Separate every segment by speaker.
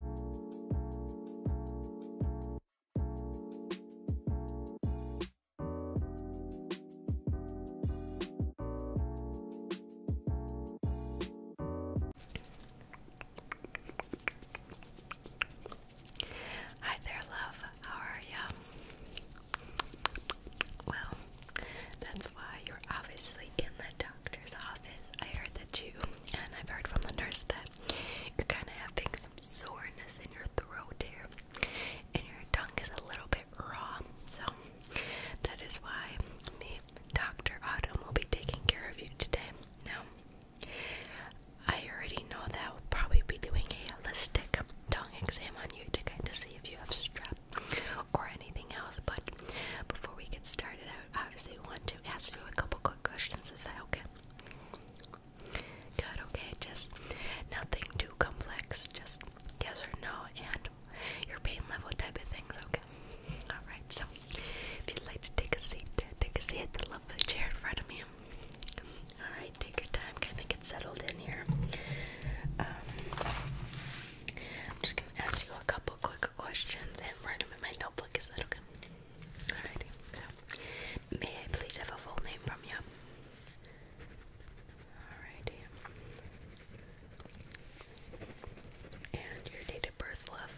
Speaker 1: Hi there, love. How are ya? Well, that's why you're obviously in the doctor's office. I heard that you, and I've heard from the nurse that you're kind of having some soreness in your throat here, and your tongue is a little bit raw. So that is why me, Dr. Autumn, will be taking care of you today. Now, I already know that I'll probably be doing a holistic tongue exam on you to kind of see if you have strep or anything else. But before we get started, obviously want to ask you a couple quick questions. Is that okay? Good, okay, just nothing too complex, just yes or no, and your pain level type of things, okay? Alright, so if you'd like to take a seat, take a seat at the lovely chair in front of me. Alright, take your time, kind of get settled in here. Um, I'm just gonna ask you a couple quick questions and write them in my notebook, is that okay? Alrighty, so may I please have a full name from you? Alrighty. And your date of birth, love.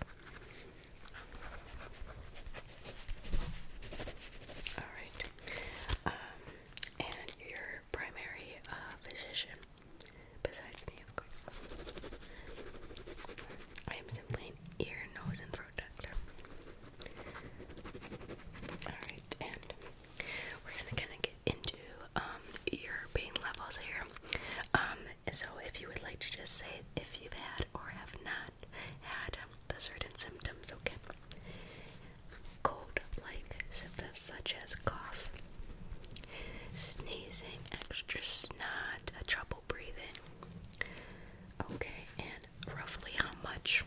Speaker 1: Alright. Um, and your primary uh, physician, besides me, of I am simply an ear, nose, and throat doctor. Alright, and we're gonna kind of get into um, your pain levels here. Um, so if you would like to just say if you've had or have not had the certain symptoms, okay? Cold-like symptoms such as cough, sneezing, extra snot, trouble breathing. Okay, and roughly how much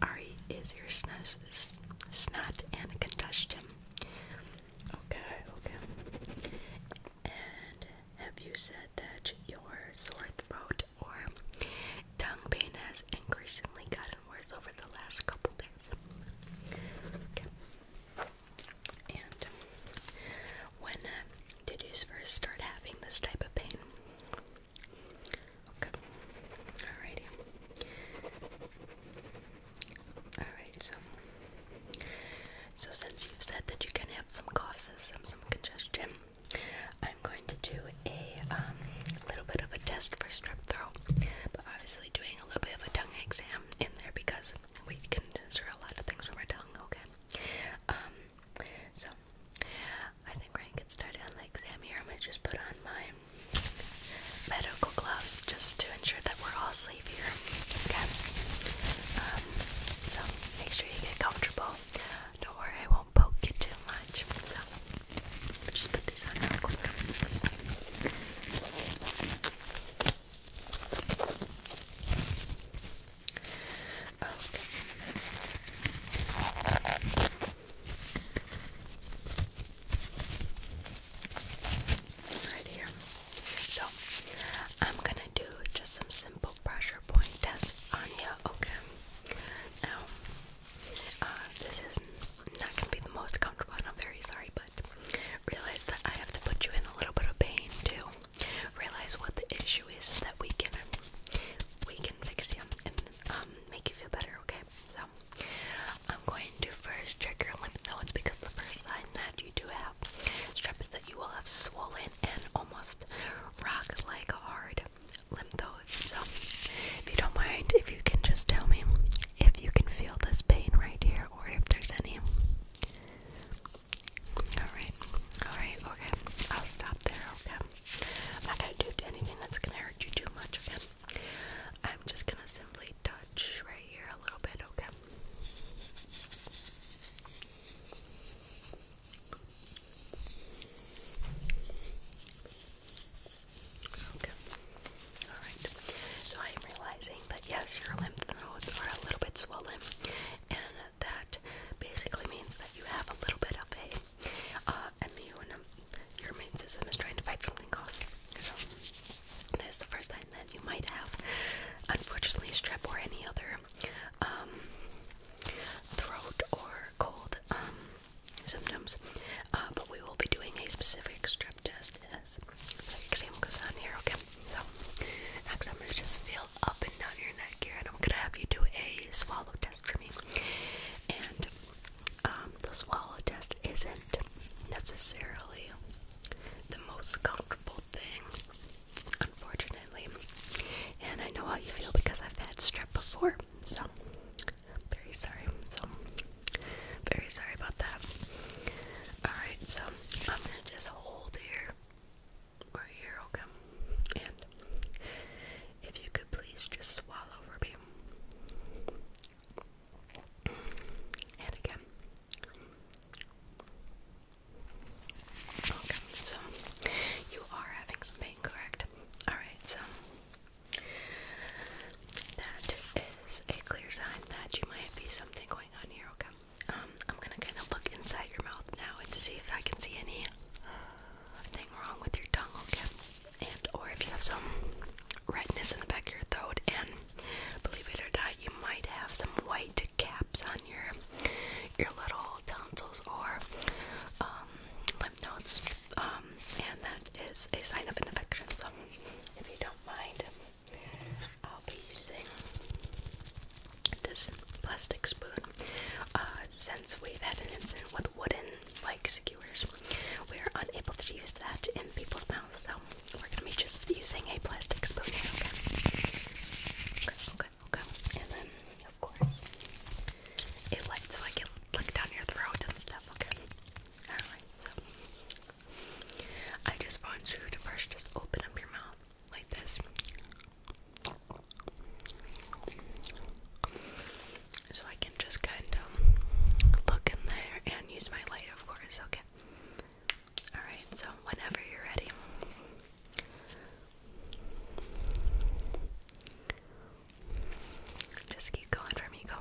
Speaker 1: are is your snot and combustion? Okay, okay. And have you said that your sore throat or tongue pain has increasingly gotten worse over the last couple days? And when uh, did you first start having this type of pain? Okay. Alrighty. Alright, so so since you've said that you can have some coughs, some some congestion, I'm going to do a um, little bit of a test for strep throat, but obviously doing a little bit of a tongue exam in there because we can censor a lot of things from our tongue. Okay. Um, so I think we're gonna get started on the exam here. I'm gonna just put on my medical gloves just to ensure that we're all safe here. Okay. Um, so make sure you get comfortable. Don't worry, I won't poke you too much. So just put these on real quick. Right here. So I'm gonna do just some simple pressure point tests on you. Okay. Now, uh, this is not gonna be the most comfortable, I'm very sorry, but realize that I have to put you in a little bit of pain too realize what the issue is that we can we can fix you and um, make you feel better, okay? So I'm going to first check your lymph nodes because the first sign that you do have strep is that you will have swollen and almost rock-like hard lymph nodes. So if you don't mind, if you can just tell me if you can feel this pain right here or if there's any Alright, alright, okay. I'll stop there, okay? am not gonna do anything that's gonna hurt you too much, okay? I'm just gonna simply touch right here a little bit, okay? Okay. Alright. So I am realizing that yes, your lymph nodes are a little bit swollen that basically means that you have a little bit of a uh, immune, your immune system is trying to fight something off. So, this is the first time that you might have, unfortunately, strep or any other um, throat or cold um, symptoms. Uh, but we will be doing a specific strep test as the exam goes on here, okay? So, next I'm going to just feel up and down your neck here, and I'm going to have you do a swallow test for me. And um, the swallow test isn't necessarily the most comfortable thing, unfortunately. And I know how you feel because I've had strep before, so I'm very sorry. So, very sorry about that. Alright, so I'm going to just hold here or your okay. And if you could please just swallow for me. And again. Okay, so you are having some pain, correct? Alright, so that is a clear sign that you might be something going on here, okay? Um, I'm gonna kind of look inside your mouth now and to see if I can see anything uh, wrong with your tongue, okay? And or if you have some redness in the back of your throat, and believe it or not, you might have some white caps on your your little tonsils or um, lymph nodes, um, and that is a sign of an infection. So if you don't mind, I'll be using this plastic spoon. Uh, since we've had an incident with wooden like skewers, we're unable to use that in people's mouths, so we're gonna be just using a plastic spoon here, okay? Okay, okay, okay. And then, of course, it lights so I can look down your throat and stuff, okay? Alright, so I just want you to first just open up your mouth like this. So I can just kind of look in there and use my light, of course. Okay. Alright, so whenever you're ready. Just keep going for me, go.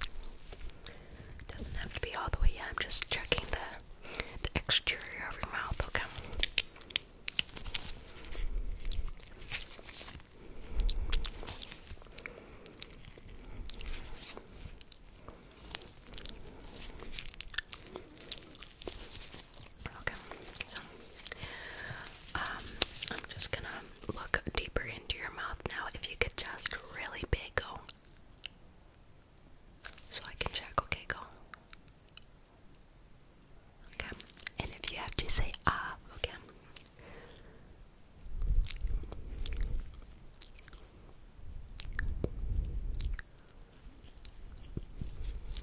Speaker 1: It doesn't have to be all the way I'm just checking the the exterior of your mouth, okay? Okay, so um, I'm just gonna look deeper into your mouth now. If you could just really big go, so I can check. Okay, go. Okay, and if you have to say ah, okay.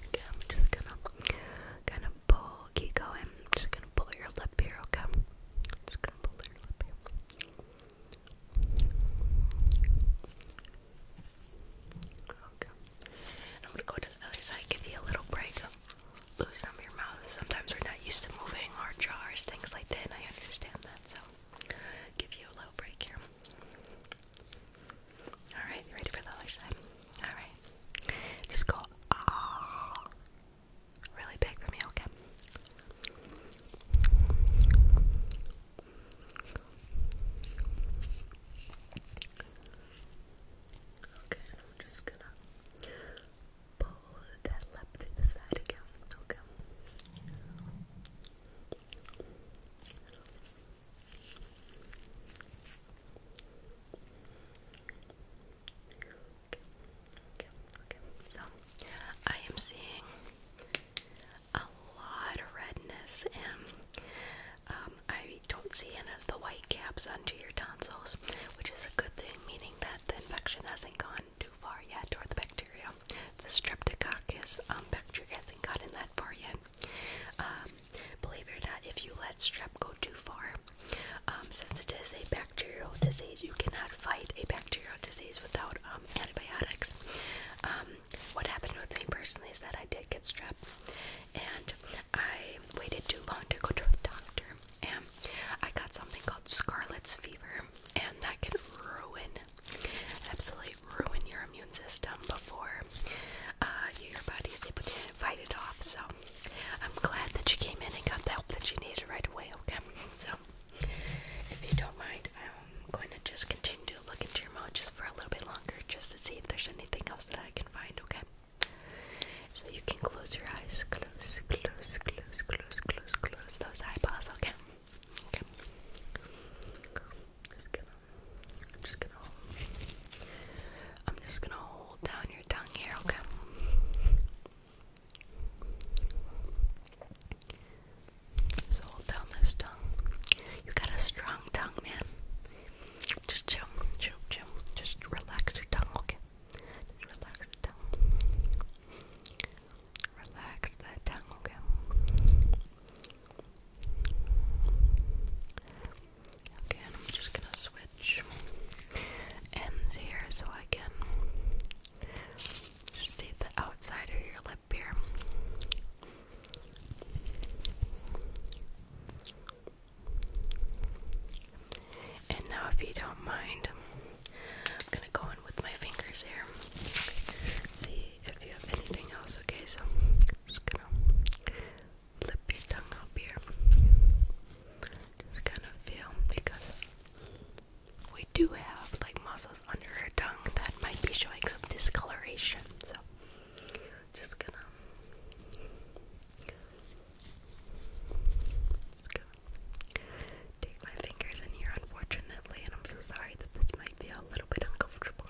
Speaker 1: Okay, I'm just gonna gonna pull keep going. I'm just gonna pull your lip here, okay? I'm just gonna pull your lip here. Okay. I'm gonna go to the other side, give you a little break, loosen up your mouth. Sometimes we're not used to moving our jars, things like that, and I understand that, so give you a little break here. Alright, you ready for the other side? Alright. Just go ah. really big for me, okay? Okay, and I'm just gonna pull that lip through the side again. Okay, okay, okay. So I am seeing a lot of redness, and um, I don't see any of the white caps under your tonsils, which is a good thing, meaning that the infection hasn't gone too far yet, or the bacteria, the streptococcus um, bacteria hasn't gotten that far yet. Um, believe it or not, if you let strep go too far, since it is a bacterial disease, you cannot fight a bacterial disease without um, antibiotics. Um, what happened with me personally is that I did get strep, and I waited too long to go to a doctor, and I got something called scarlet's fever, and that can ruin, absolutely ruin your immune system before uh, your body is able to fight it off. So I'm glad that you came in and got the help that you needed right away. Okay, so if you don't mind, I'm going to just continue to look into your mouth just for a little bit longer just to see if there's anything else that I can find, okay? So you can close your eyes. Close, close, close, close, close, close those eyeballs, okay? Okay. Just gonna, I'm just gonna hold. I'm just gonna hold down your tongue here, okay? So hold down this tongue. You got a strong tongue, man. Just chill, chill, chill. Just relax your tongue, okay? Just relax the tongue. Relax that tongue, okay? Okay, I'm just gonna switch ends here so I can just take the outside of your lip here. And now, if you don't mind, I'm gonna go in with my fingers here. See if you have anything else, okay? So, just gonna flip your tongue up here. Just kind of feel because we do have like muscles under her tongue that might be showing some discoloration. So, just going Just gonna take my fingers in here, unfortunately, and I'm so sorry that this might be a little bit uncomfortable.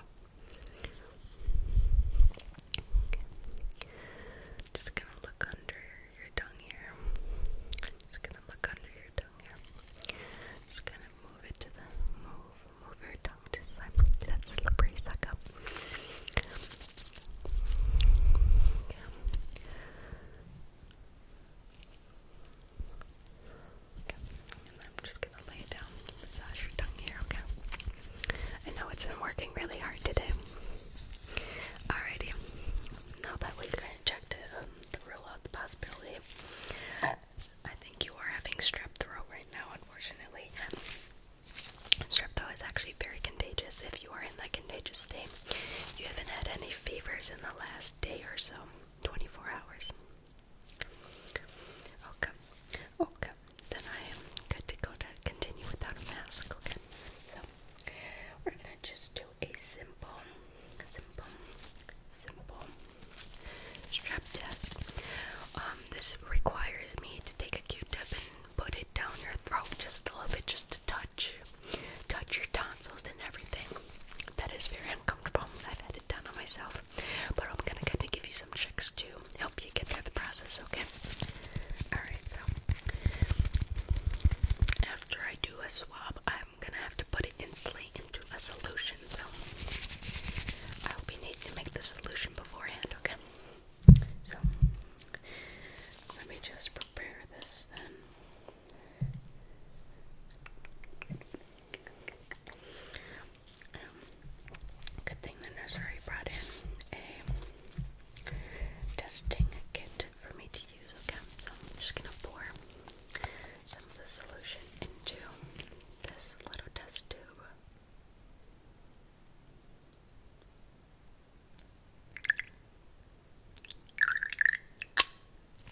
Speaker 1: Just gonna look under your tongue here. Just gonna look under your tongue here just kind of move it to the move, move your tongue to the That slippery suck Okay. And I'm just gonna lay down, massage your tongue here, okay? I know it's been working really hard today. Alrighty. Now that we've kind of checked it, rule out the possibility. I think you are having strep throat right now, unfortunately. Strep throat is actually very contagious if you are in that contagious state. You haven't had any fevers in the last day or so, 24 hours. Okay, okay. Then I am good to go to continue without a mask, okay? So, we're gonna just a simple, simple, simple strap test. Um, this requires me to take a Q-tip and put it down your throat just a little bit, just to touch, touch your tonsils and everything. That is very uncomfortable. I've had it done on myself, but I'm gonna kind of give you some tricks to help you get through the process. Okay. All right. So after I do a swab, I'm I'm gonna have to put it instantly into a solution, so I will be needing to make the solution beforehand, okay? So, let me just prepare this then. Um, good thing the nursery brought in a testing kit for me okay? So I'm just gonna pour some of the solution into this little test tube.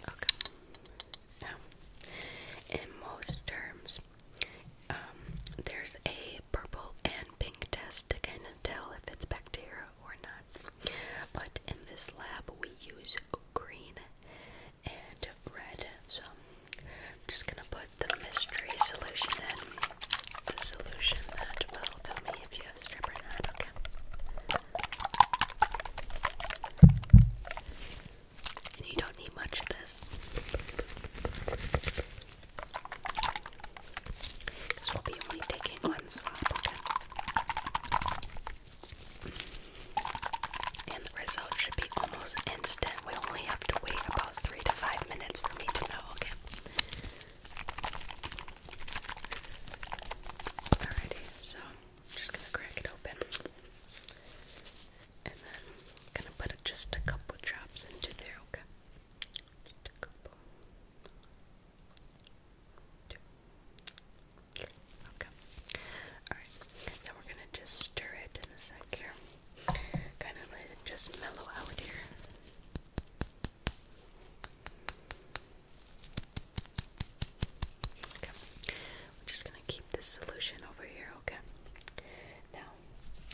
Speaker 1: Okay. Now, in most terms, um, there's a purple and pink test to kind of tell if it's bacteria or not. But in this lab, we use green and red. So I'm just gonna put the mystery solution in. The solution that will tell me if you have stripper or not, okay? And you don't need much of this. This will be only taking one swab, okay? And the result should be almost instant. We only have to wait about three to five minutes for me to know, okay? Alrighty, so just gonna crack it open. And then gonna put just a couple drops into there, okay? Just a couple. Two. Okay. Alright. Then we're gonna just stir it in a sec here. Kinda let it just mellow out here. Okay. We're just gonna keep this solution over here, okay? Now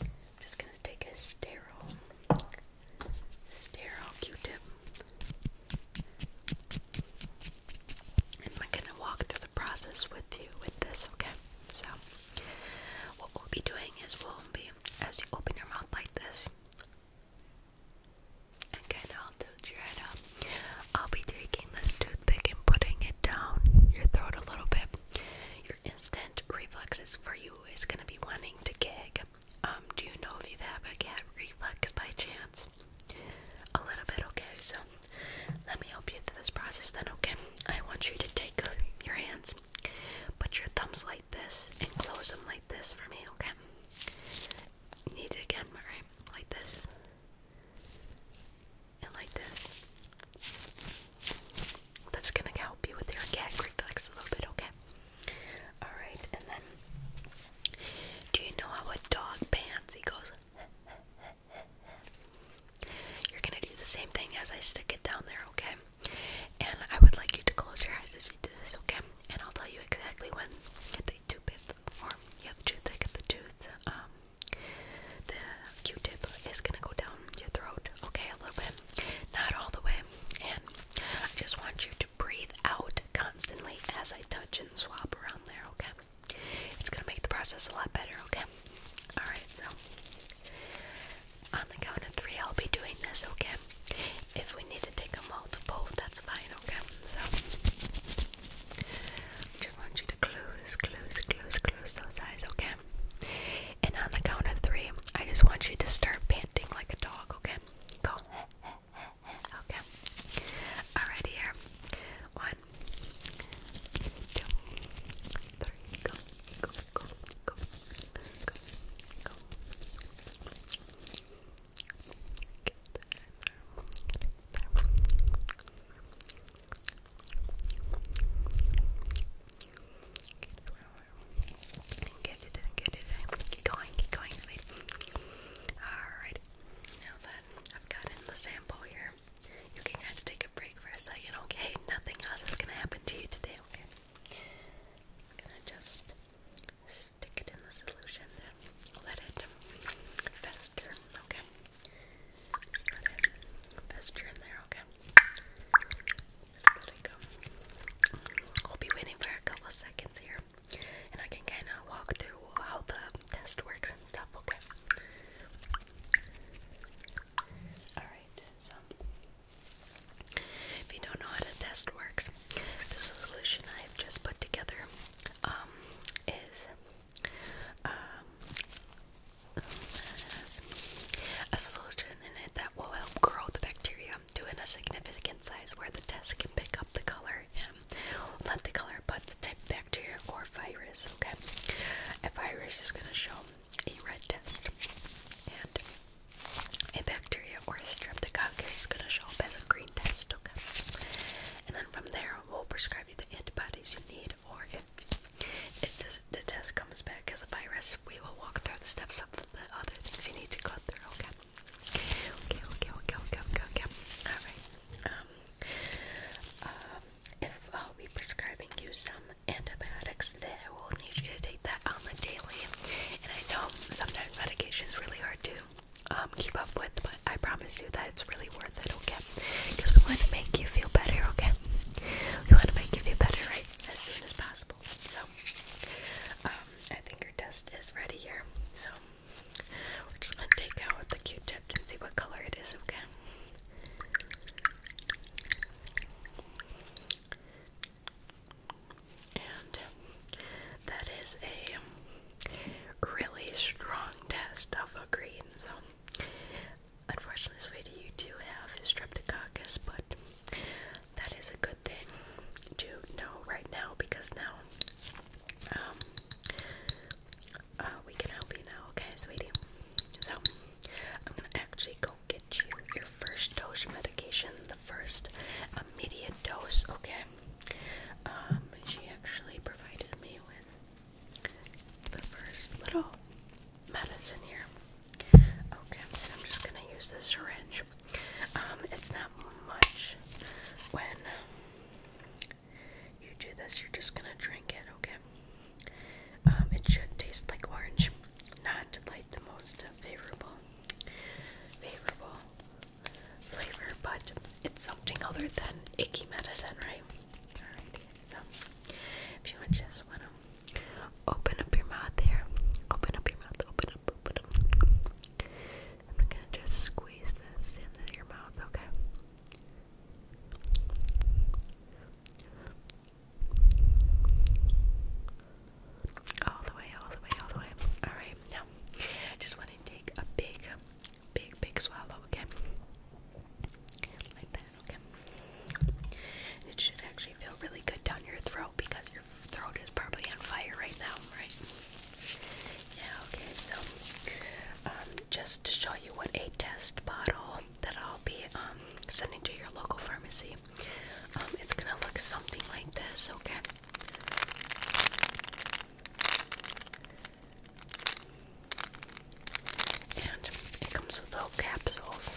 Speaker 1: I'm just gonna take a sterile sterile Q tip. I'm gonna walk through the process with you with this, okay? So, what we'll be doing is we'll be, as you open your mouth like this, and kind of tilt your head up, I'll be taking this toothpick and putting it down your throat a little bit. Your instant reflexes for you is gonna be wanting to gag. Um, do you know if you've had a gag reflex by chance? a little bit, okay? So let me help you through this process then, okay? I want you to take uh, your hands, put your thumbs like this, and close them like this for me, okay? need it again, alright? Like this. And like this. That's gonna help you with your gag reflex a little bit, okay? Alright, and then do you know how a dog pants? He goes. You're gonna do the same thing as I stick it down there, okay? And I would like you to close your eyes as you do this, okay? And I'll tell you exactly when they do it, or yeah, the tooth, get the tooth. Um, the Q-tip is gonna go down your throat, okay, a little bit, not all the way. And I just want you to to breathe out constantly as I touch and swap around there, okay? It's gonna make the process a lot better, okay? Alright, so on the count of three, I'll be doing this, okay? If we need to take a multiple, that's fine, okay? So, just want you to close, close, close, close those eyes, okay? And on the count of three, I just want you to start panting like a dog, okay? Go. Okay. Alright here. One, two, three, go, go, go, go, go, go. Get get there. Get it, get it, get it. Keep going, keep going, sweet. Alright. Now that I've gotten the sample here, you can kind of take a break for a second, okay? Nothing else is gonna happen to you today, okay? gonna just stick it in the solution and let it fester, okay? fester in there, okay? Just let go. We'll be waiting for a couple seconds here and I can kind of walk through how the test works and stuff, okay? Alright, so if you don't know how the test works, the solution I've just put together um, is um, a solution in it that will help grow the bacteria to a significant size where the test can pick up the color not the color, but the type bacteria or virus, okay? A virus is going to show a red test, and a bacteria or a streptococcus is going to show up as a green test, okay? And then from there, we'll prescribe you the antibodies you need, or if, the test comes back as a virus, we will walk through the steps of the other things you need to go through, okay? Okay, okay, okay, okay, okay, okay. Alright. Um, um, if I'll be prescribing you some antibiotics today, I will need you to take that on the daily. And I know sometimes medication is really hard to um, keep up with, but I promise you that it's really worth it, okay? Because we want to make you feel better, okay? We want to make you feel better, right? As soon as possible. So, um, I think your test is ready here. So, we're just gonna take out the Q-tip and see what color it is, okay? And that is a really strong test of a green. So, unfortunately, this you do have streptococcus, but that is a good thing to know right now because now um, uh, we can help you now, okay, sweetie? So, I'm gonna actually go get you your first dose medication, the first immediate dose, okay? Um, she actually provided me with the first little medicine here. Okay, I'm just gonna use the syringe. Um, it's not much when you do this, you're just gonna drink it, okay? Um, it should taste like orange, not like the most favorable, favorable flavor, but it's something other than icky medicine, right? so if you just wanna open up your mouth here, open up your mouth, open up. I'm gonna just squeeze this into your mouth, okay? All the way, all the way, all the way. Alright, now just want to take a big, big, big swallow, okay? Like that, okay? It should actually feel really good down your throat because your throat is probably on fire right now, right? Yeah, okay, so um, just to show you what a test bottle that I'll be um, sending to your local pharmacy, um, it's gonna look something like this, okay? And it comes with little capsules.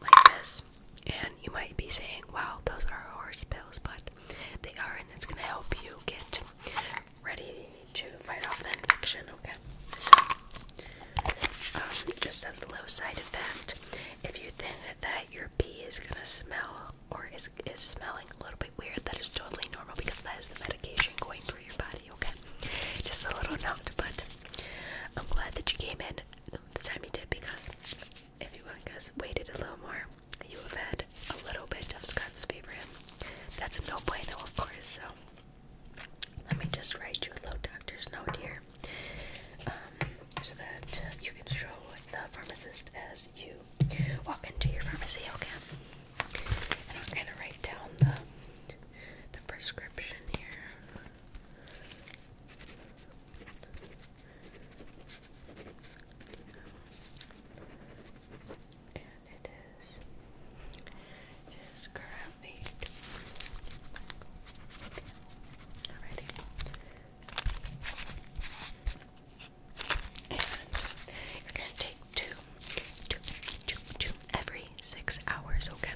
Speaker 1: Like this, and you might be saying, Wow, those are horse pills, but they are, and it's going to help you get ready to fight off the infection. Okay, so um, just as a low side effect, if you think that your pee is going to smell or is, is smelling a little bit weird, that is totally normal because that is the medication going through your body, okay? Just a little note, but I'm glad that you came in the time you did because if you guys waited a little more, you would have had a little bit of Scott's fever. That's a no bueno, of course, so let me just write you a little doctor's note here um, so that you can show the pharmacist as you walk into your pharmacy, okay? And I'm gonna write down the the prescription here. And it is it is currently Alrighty you're gonna take two, two, two, two every six hours, okay?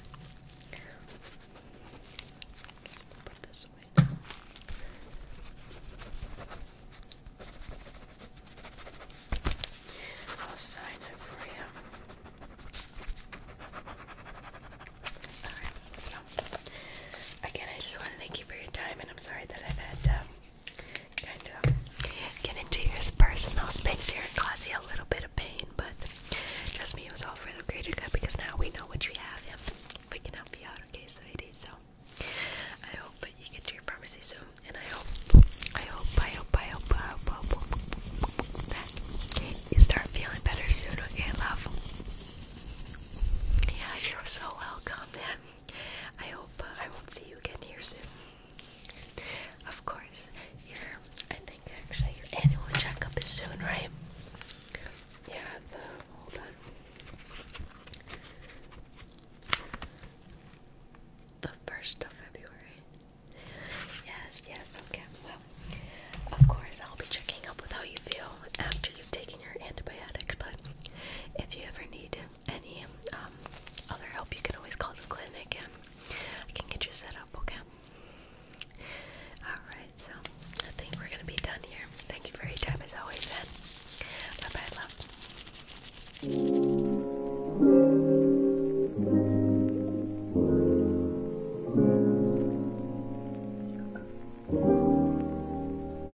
Speaker 1: I'll sign it for you. again, I just want to thank you for your time, and I'm sorry that I've had to kind of get into your personal space here and cause you a little bit of pain, but trust me, it was all for the greater good because now we know what you have and we can help you out, okay, sweetie? So I hope that you get to your pharmacy soon, and I hope, I hope, I hope, I hope, I hope, I hope that you start feeling better soon, okay, love? Yeah, you're so welcome, man. I hope uh, I will see you again here soon. Of course, your I think actually your annual checkup is soon, right? Yeah, The first of February. Yes, yes, okay. Well, of course I'll be checking up with how you feel after you you your antibiotics, but if you ever need any um, other help, you can always call the clinic I can get you set up, okay? Alright, so I think we're gonna be done here. Thank you for your time as always, and bye bye, love.